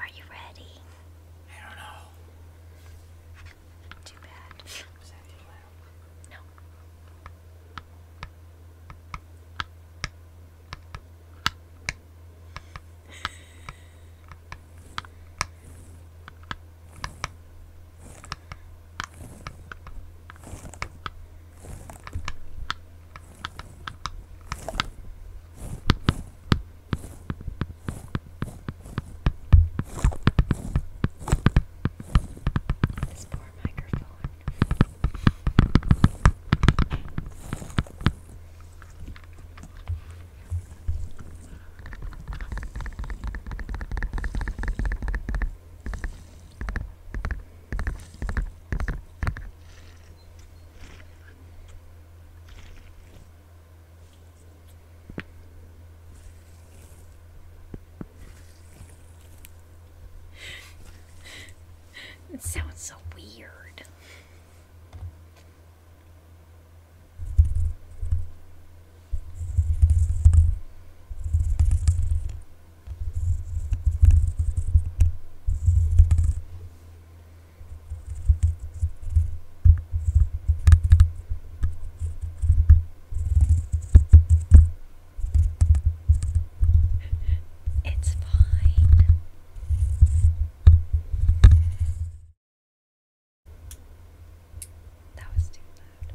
Are you ready? I don't know. Too bad. No. This poor microphone it sounds so weird. It's fine. That was too loud.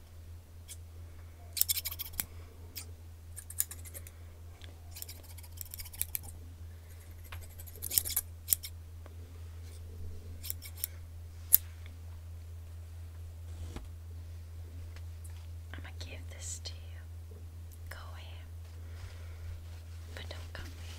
I'm going to give this to you. Go away. But don't come here.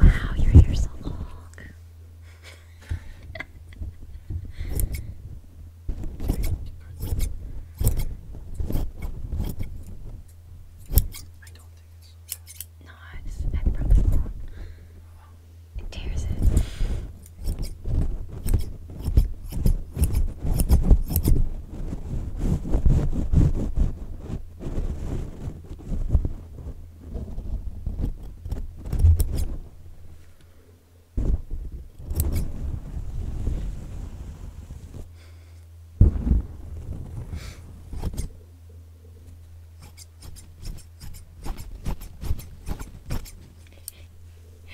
Wow, your hair's so long. I don't think it's so bad. No, I just had probably wrong. It tears it.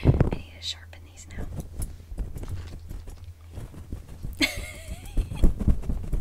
I need to sharpen these now.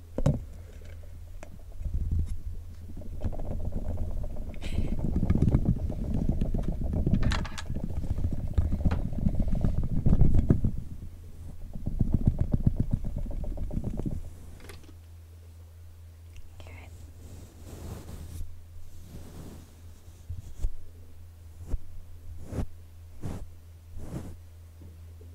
Carrot.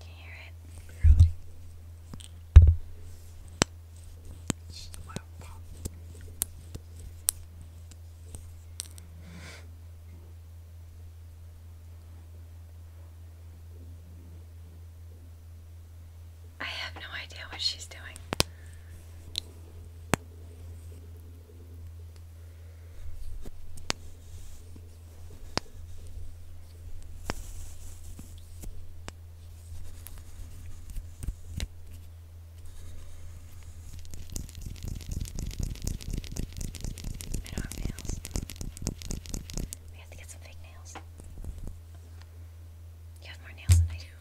Can you hear it? Really? It's loud pop. I have no idea what she's doing. I We have to get some fake nails. You have more nails than I do.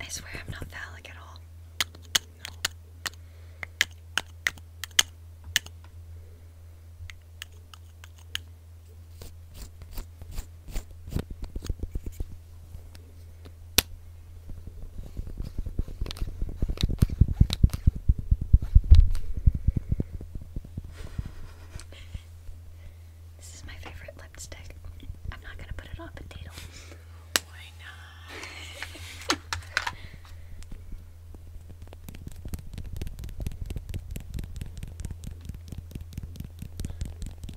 I swear I'm not phallic at all. This is my favorite lipstick. I'm not gonna put it on potato. Why not?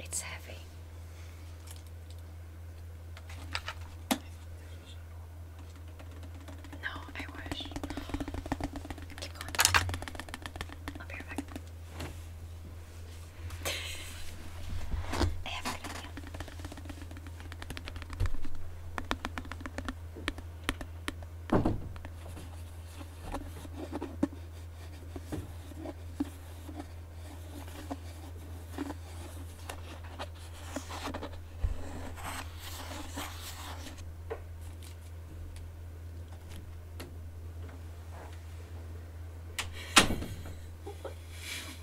It's heavy. No, I wish. Keep going. I'll be right back. I have a good idea.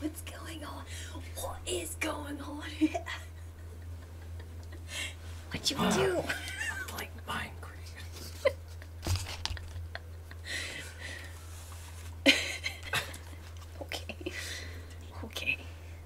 What's going on? What is going on What What you do? okay. Okay.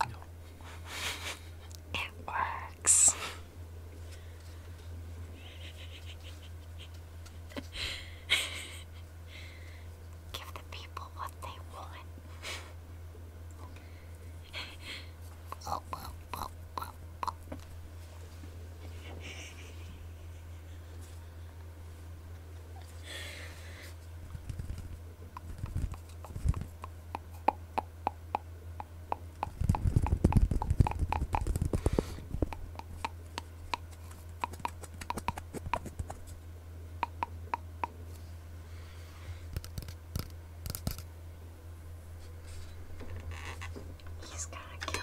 No. It works. Give the people what they want. He's gonna kill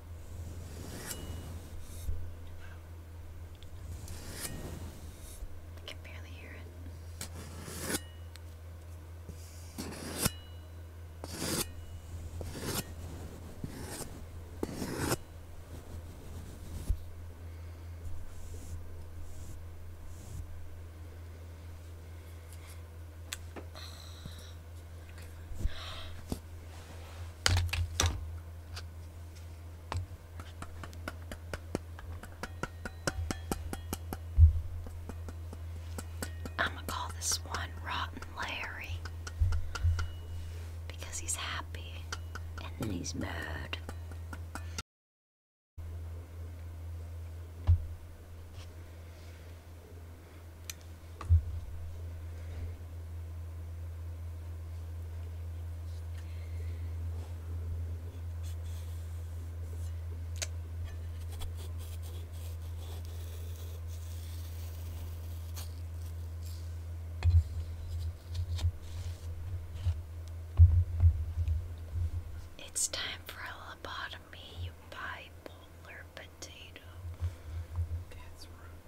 I can barely hear it. I'm gonna call this one Rotten Larry because he's happy and then he's mad. It's time for a lobotomy, you bipolar potato. That's rude.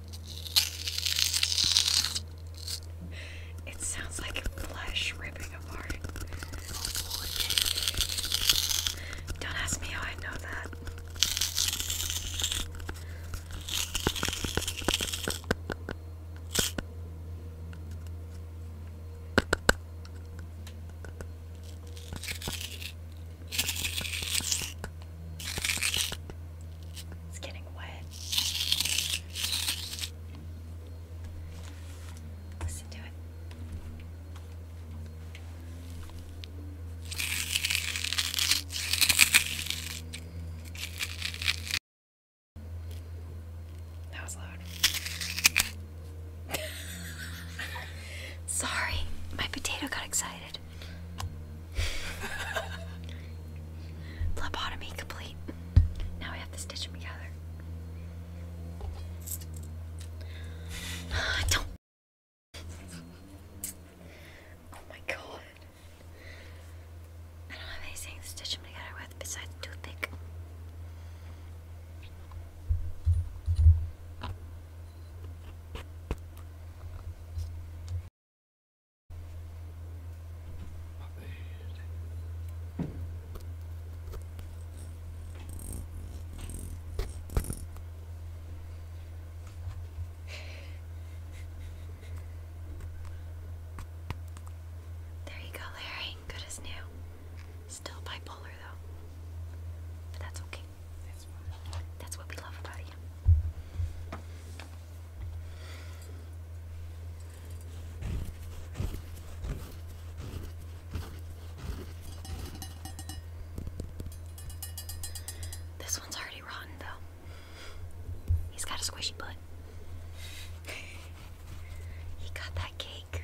It sounds like flesh ripping apart. Don't ask me how I know that. It's getting wet. Listen to it. That was loud. Sorry, my potato got excited dead. complete. Now we have to stitch them together. Don't. Oh my god. I don't have anything to stitch them together with besides toothpick. There you go, Larry. Good as new. Still bipolar, though. But that's okay. That's what we love about you. This one's already rotten, though. He's got a squishy butt. he got that cake.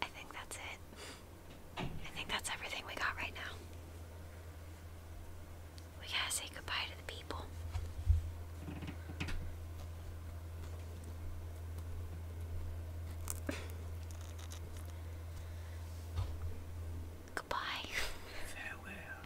I think that's it. I think that's everything we got right now. We gotta say goodbye to the people. goodbye. Farewell.